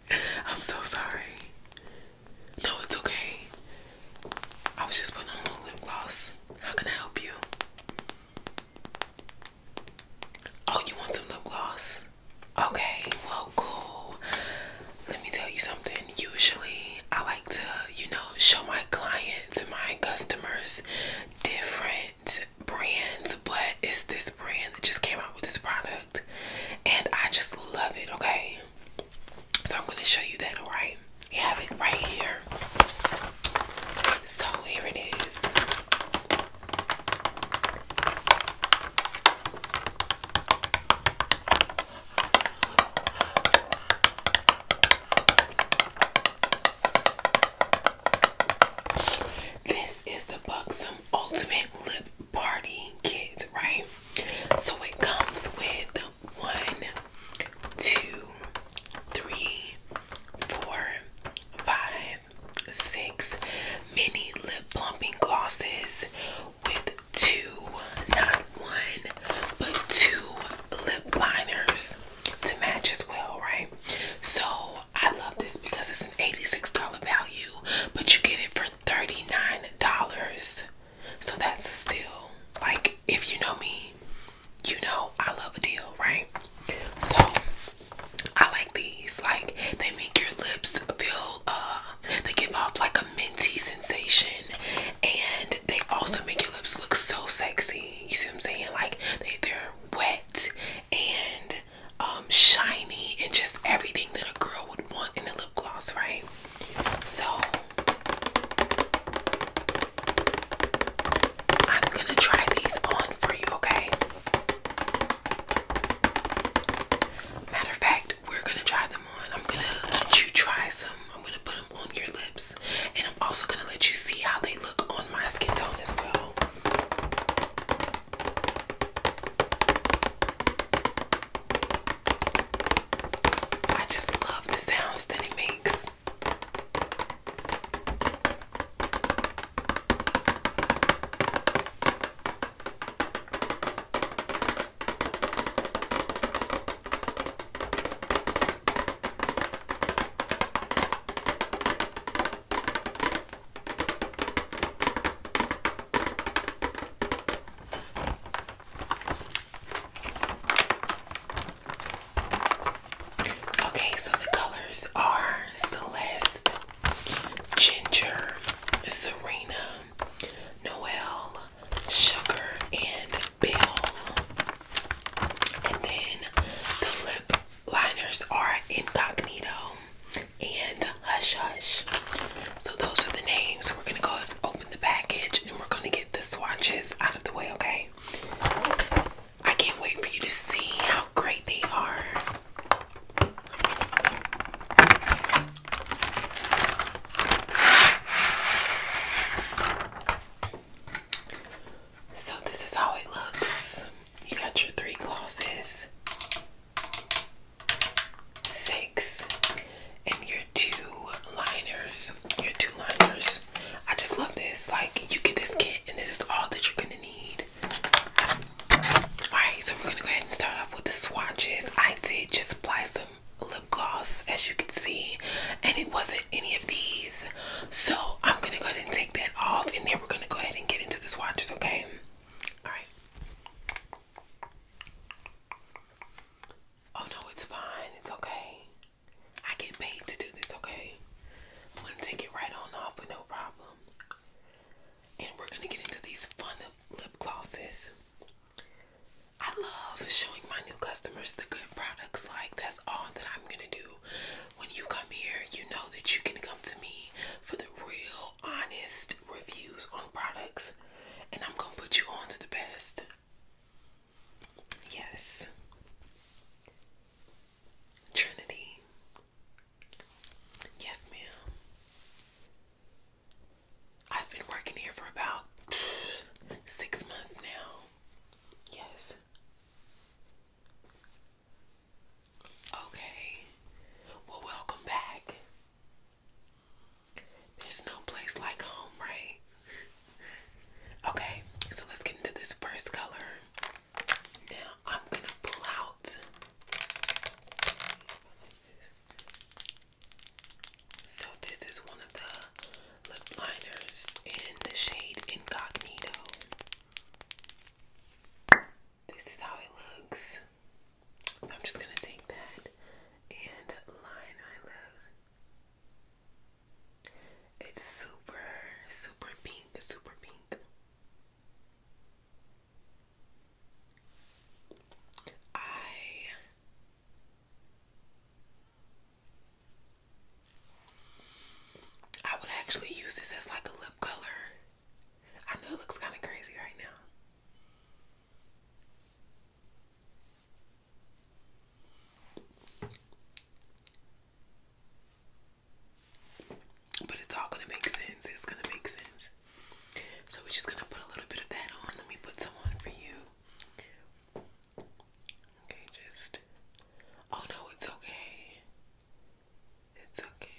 I'm so sorry. No, it's okay. I was just putting on a little lip gloss. How can I help you? Oh, you want some lip gloss? Okay, well, cool. Let me tell you something. Usually, I like to, you know, show my clients and my customers different brands, but it's this brand that just came out with this product and I just love it, okay? So I'm gonna show you that, alright? You have it right here. So here it is. This is the buxom ultimate lip party kit, right? So it comes with one, two, three, four, five, six mini lip plumping glosses with two, not one, but two lip liners to match as well, right? So I love this because it's an $86 value, but you get it for $39. So that's still like if you know me, you know I love a deal, right? So I like these. Like they make your lips feel uh, they give off like a minty sensation and they also make your lips look so sexy. You see what I'm saying? Like they, they're wet and um, shiny and just everything that a girl would want in a lip gloss, right? So I'm gonna try these on for you, okay? Matter of fact, we're gonna try them on. I'm gonna let you try some. I'm gonna put them on your lips, and I'm also gonna let you see how they look on my skin tone as well. I just love the sounds that it makes. Okay, so the colors are Celeste, Ginger, Serena, Noel, Sugar, and Bill. And then the lip liners are Incognito, and Hush Hush. So those are the names. We're gonna go ahead and open the package and we're gonna get the swatches out of the way, okay? I can't wait for you to see how great they are. So, this is how it looks. You got your three glosses six. And your two liners, your two liners. I just love this. Like you get this kit and this is all that you're gonna need. Alright, so we're gonna go ahead and start off with the swatches. I did just apply some lip gloss as you can see and it wasn't any of these so i'm gonna go ahead and take that off and then we're gonna go ahead and get into the swatches okay all right Oh no, it's fine. It's okay. I get paid to do this, okay? I'm take it right on off with no problem. And we're gonna get into these fun lip glosses. I love showing my new customers the good products. Like, that's all that I'm gonna do. When you come here, you know that you can come to me for the real, honest reviews on products and I'm gonna put you on the best. Yes. Trinity. Yes, ma'am. I've been working here for about six months now. Yes. Okay. Well, welcome back. There's no place like home, right? Okay, so let's get into this first color. Now I'm gonna pull out so this is one of the lip liners in the shade Incognito. This is how it looks. I'm just gonna take that and line my lips. It's super, super pink, super pink. I I would actually use this as like a lip color. I know it looks kind of crazy right now. But it's all gonna make sense. It's gonna make sense. So we're just gonna put a little bit of that on. Let me put some on for you. Okay, just. Oh no, it's okay. It's okay.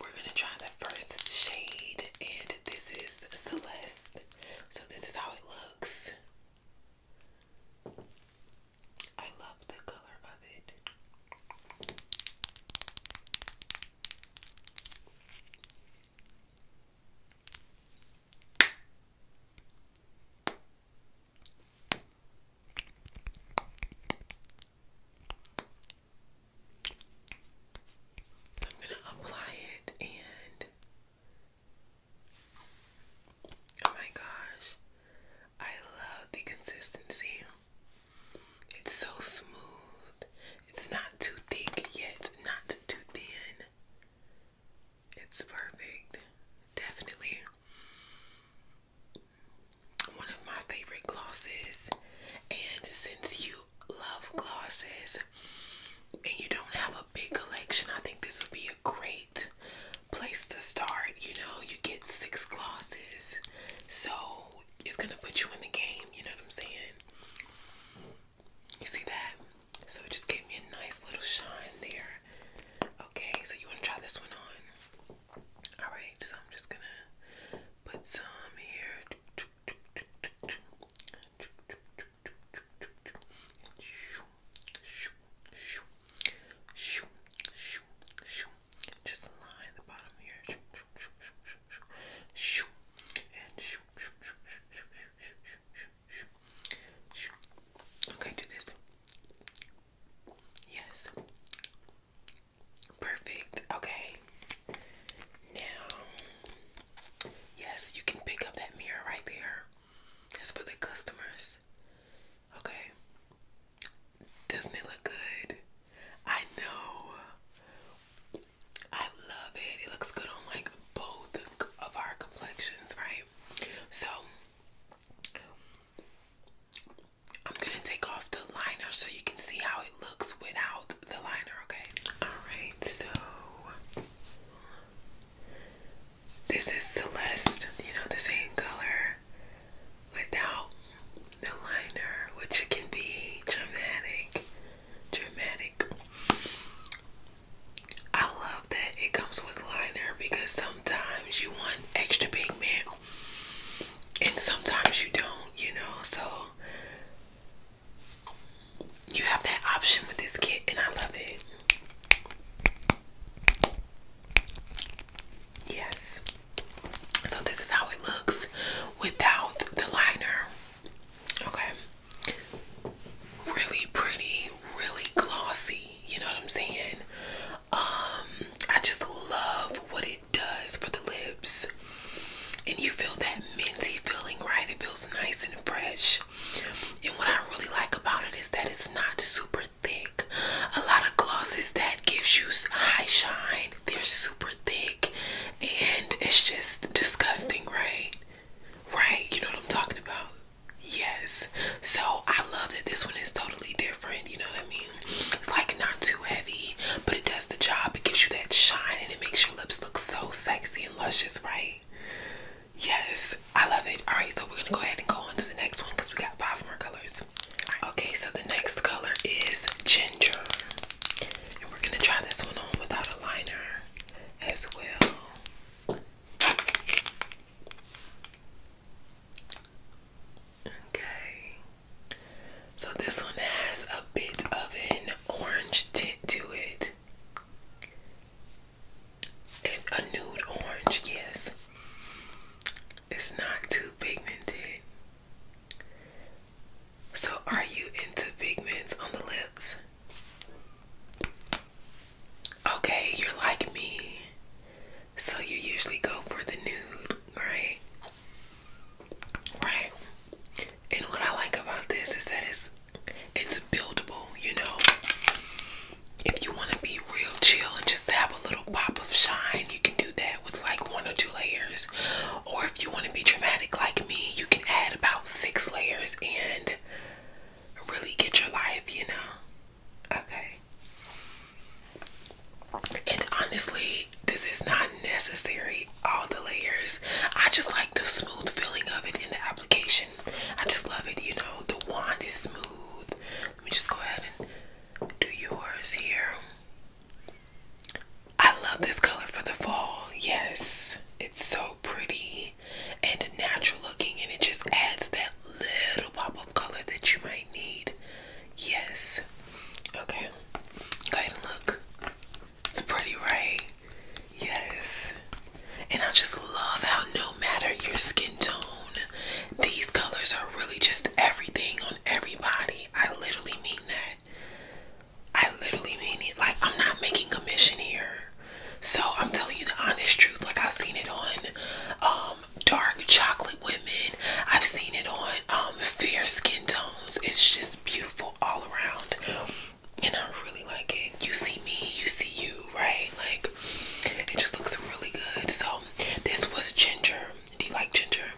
We're gonna try the first shade, and this is Celeste. So this is how it looks. I love the color of it. I'm gonna apply it and oh my gosh, I love the consistency. It's so smooth. It's not too thick yet, not too thin. It's perfect. Definitely one of my favorite glosses. And since you love glosses and you don't have a big collection, I think this would be a great place to start. You know, you get six glosses, so it's gonna put you in the game, you know what I'm saying? You see that? So it just gave me a nice little shine there. Okay, so you wanna try this one on? Alright, so I'm just gonna put some here. Just line the bottom here. And okay, do this. Yes. Perfect. Okay. Now Yes, you can pick up that mirror right there. That's for the customers. Okay. Doesn't it look good? I know. I love it. It looks good on like both of our complexions, right? So I'm gonna take off the liner so you can see how it looks without the liner, okay? Alright, so this is Celeste, you know, the same color without the liner, which can be dramatic. Dramatic. I love that it comes with liner because sometimes you want extra pigment and sometimes you don't, you know. So you have that option with this kit, and I love it. Yes. So this is how it looks without the liner. Okay. Really pretty, really glossy, you know what I'm saying? Um, I just love what it does for the lips and you feel that minty feeling, right? It feels nice and fresh. And what I really like about it is that it's not super thick. A lot of glosses that gives you high shine, they're super thick and it's just disgusting, right? Right? You know what I'm talking about? Yes. So I love that this one is totally different, you know what I mean? It's like not too heavy, but it does the job. It gives you that shine and it makes you lips look so sexy and luscious, right? Yes, I love it. All right, so we're gonna go ahead and go on to the next one because we got five more colors. Okay, so the next color is ginger, and we're gonna try this one on without a liner as well. Okay, so this one has a bit of an orange tint to it. And a nude orange, yes. It's not too pigmented. So, are you into pigments on the lips? Okay, you're like me. So, you usually go for the nude, right? Right. And what I like about this is that it's it's buildable, you know. If you want to be real chill and just have a little pop of shine, you can do that with like one or two layers. Or if you want to be dramatic like me, you can add about six layers and really get your life, you know. Okay. And honestly, this is not necessary all the layers. I just like the smooth feeling of it in the application. I just love it, you know. The wand is smooth. Let me just go ahead and do yours here. I love this color for the fall. Yes, it's so pretty and natural looking, and it just adds that little pop of color that you might need. Yes. Okay. Go ahead and look. It's pretty, right? Yes. And I just love how no matter your skin tone, these colors are really just everything on everybody. I literally mean that. I literally mean it. Like, I'm not making a mission here. So, I'm telling you the honest truth. Like, I've seen it on um, dark chocolate women, I've seen it on um, fair skin tones. It's just beautiful all around and I really like it. You see me, you see you, right? Like it just looks really good. So this was ginger. Do you like ginger?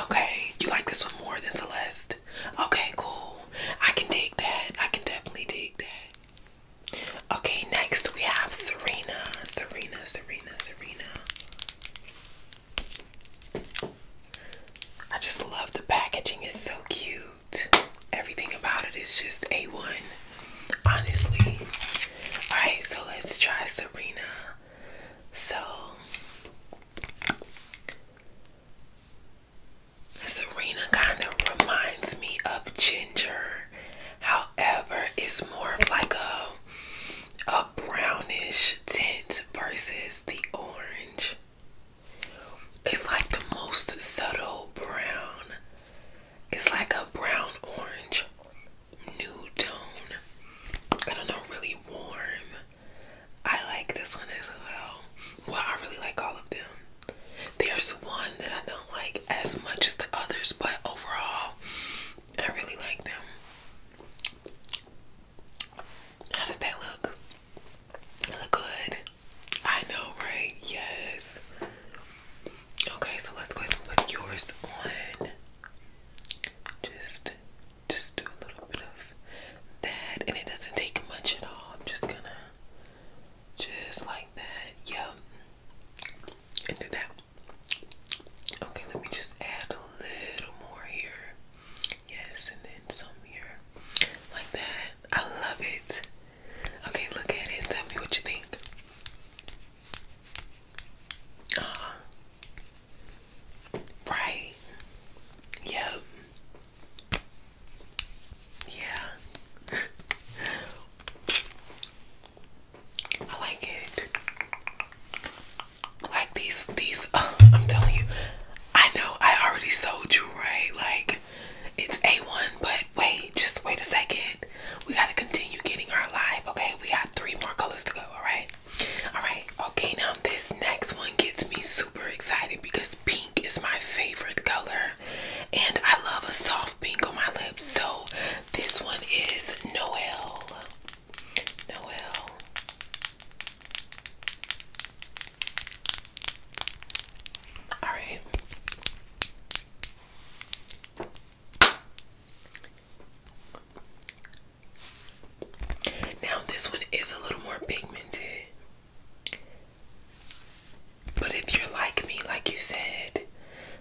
Okay, you like this one more than Celeste. Okay, cool. I can dig that. I can definitely dig that. Okay, next we have Serena. Serena, Serena, Serena. I just love the packaging, it's so cute everything about it is just A1, honestly. Alright, so let's try Serena. So, Serena kind of reminds me of ginger. However, it's more of like a, a brownish tint versus the orange. It's like the most subtle brown. It's like a brown orange nude tone. I don't know, really warm. I like this one as well. Well, I really like all of them. There's one that I don't like as much as the others, but overall, I really like them. How does that look? look good. I know, right? Yes. Okay, so let's go ahead and put yours on. Just just do a little bit of that and it doesn't take much at all. I'm just gonna just like that. yeah. And do that. Okay, let me just add a little more here. Yes, and then some here like that. I love it. Okay, look at it tell me what you think. Uh Right. Yep. Yeah. I like it. Like these, these. I'm telling you, I know I already sold you, right? Like it's A1, but wait, just wait a second. We gotta continue getting our life, okay? We got three more colors to go, alright? Alright, okay, now this next one gets me super excited because pink is my favorite color and I love a soft pink on my lips. So this one is Noel. Noel. All right. Now, this one is a little more pigmented. But if you're like me, like you said,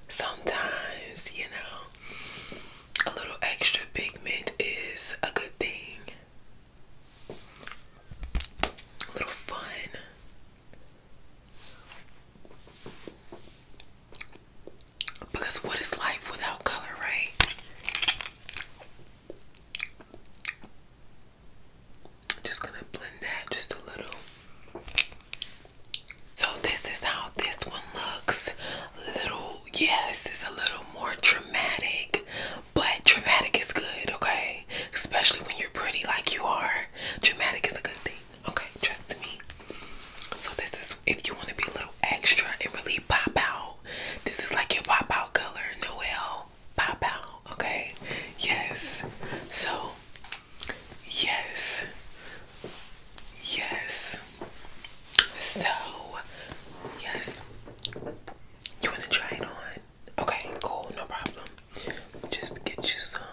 sometimes, you know, a little extra pigment is a good thing. A little fun. Because what is life without color, right? Just gonna blend that just a little. So this is how this one looks. Little, yes, it's a little more dramatic, but dramatic is good, okay? Especially when you're pretty like you are. Dramatic is a good thing, okay? Trust me. So this is if you want to be a little extra and really pop out. This is like your pop out color, Noel. Pop out, okay? Yes. So yes. Yes. So yes. You wanna try it on? Okay, cool, no problem. Just get you some.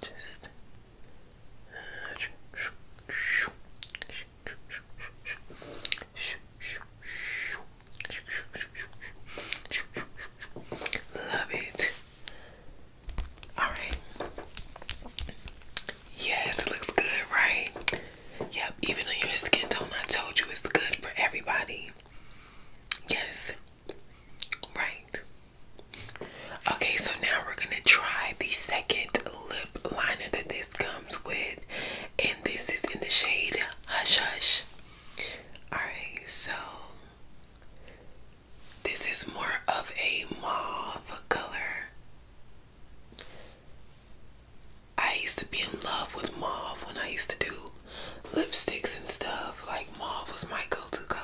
Just. Love it. Alright. Yes, it looks good, right? Yep, even on your skin tone, I told you it's good for everybody. Yes. Right. Okay, so now we're gonna try the second lip liner that this comes with, and this is in the shade Hush Hush. Alright, so this is more of a mauve color. I used to be in love with mauve when I used to do lipsticks and stuff. Like mauve was my go-to color.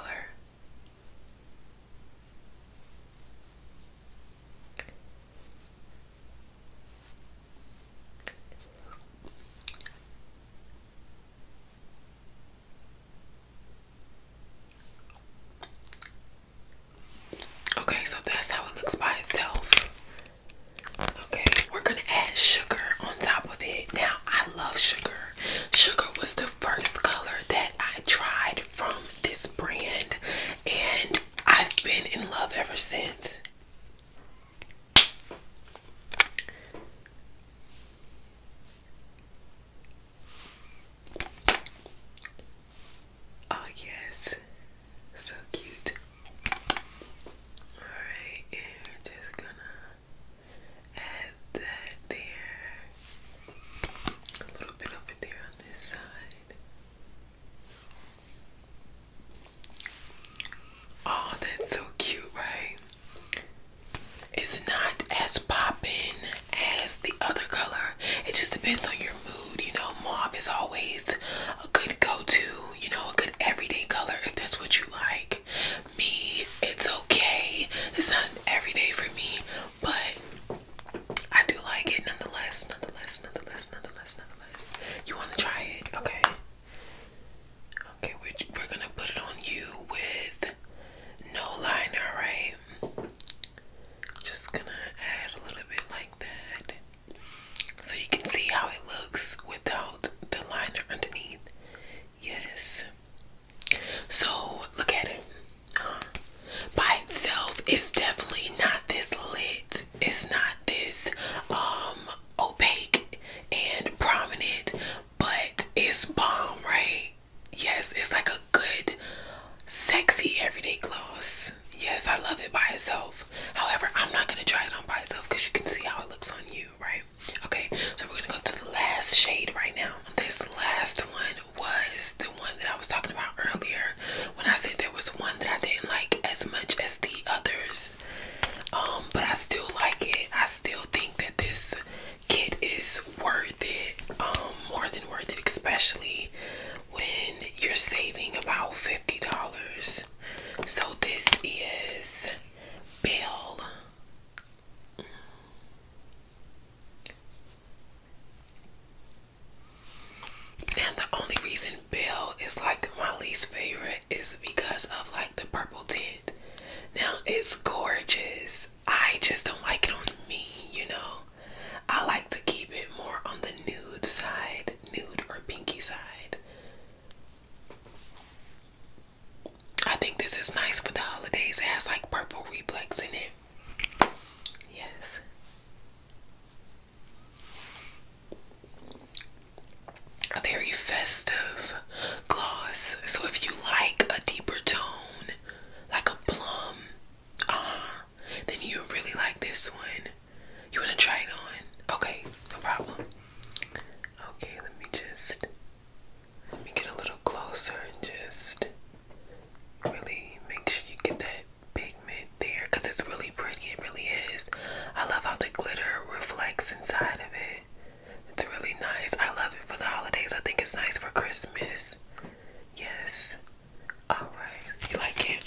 Okay, so that's how it looks by itself. Okay, we're gonna add sugar on top of it. Now, I love sugar. Sugar was the first color that I tried from this brand, and I've been in love ever since. Oh, yes, so cute. Alright, just gonna add that there. A little bit over there on this side. Oh, that's so cute, right? It's not as popping as the other color. It just depends on your mood. You know, mauve is always a good go to, you know, a good everyday color if that's what you like like me, it's okay. It's not everyday for me, but I do like it nonetheless. Nonetheless, nonetheless, nonetheless, nonetheless. You want to try it? Okay. Okay, we're, we're gonna put it on you with no liner, right? Just gonna add a little bit like that so you can see how it looks without the liner underneath. Yes. So look at it. By itself, it's definitely not this lit. It's not this um opaque and prominent, but it's bomb, right? Yes, it's like a good, sexy everyday gloss. Yes, I love it by itself. However, I'm not gonna try it on by itself because you can see how it looks on you, right? Okay, so we're gonna go to the last shade right now. This last one was the one that I was talking about earlier when I said there was one that I didn't like as much as the others. Um, but I still like it. I still think that this kit is worth it. Um, more than worth it, especially when you're saving about $50. So this is Bill. Now the only reason Bill is like my least favorite is because of like the purple tint. Now it's gorgeous. I just don't like it on me, you know. I like to keep it more on the nude side, nude or pinky side. I think this is nice for the holidays. It has like purple reflex in it. Yes. very festive gloss. So if you like a deeper tone, like a plum, uh then you really like this one. You wanna try it on? Okay, no problem. Okay, let me just let me get a little closer and just really make sure you get that pigment there because it's really pretty. It really is. I love how the glitter reflects inside of it. It's really nice. I love it for the holidays. I think it's nice for Christmas. Yes. All right. You like it?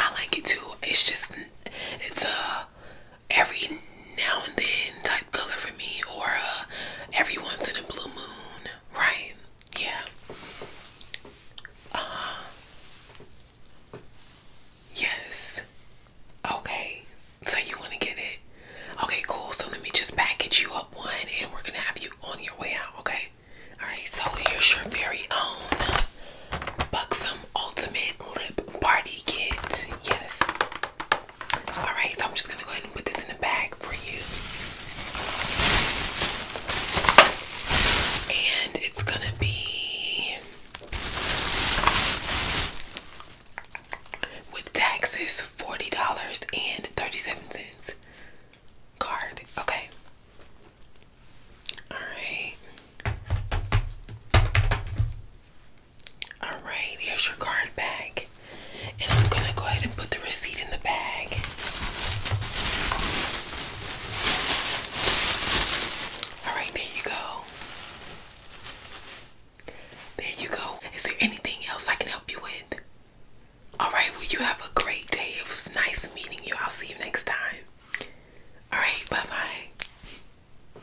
I like it too. It's just, it's a, every now and then type color for me or uh, every once in a blue moon, right? Yeah. Uh, yes. Okay. So you want to get it? Okay, cool. So let me just package you up one and we're going to have you on your way out, okay? Alright, so here's your very own buxom ultimate lip party kit. Yes. Alright, so I'm just gonna go ahead and put this in the bag for you. And it's gonna be with taxes forty dollars and thirty-seven cents. Card. Okay. Alright. Alright, here's your card back. And I'm gonna go ahead and put the receipt in the bag. Alright, there you go. There you go. Is there anything else I can help you with? Alright, well, you have a great day. It was nice meeting you. I'll see you next time. Alright, bye bye.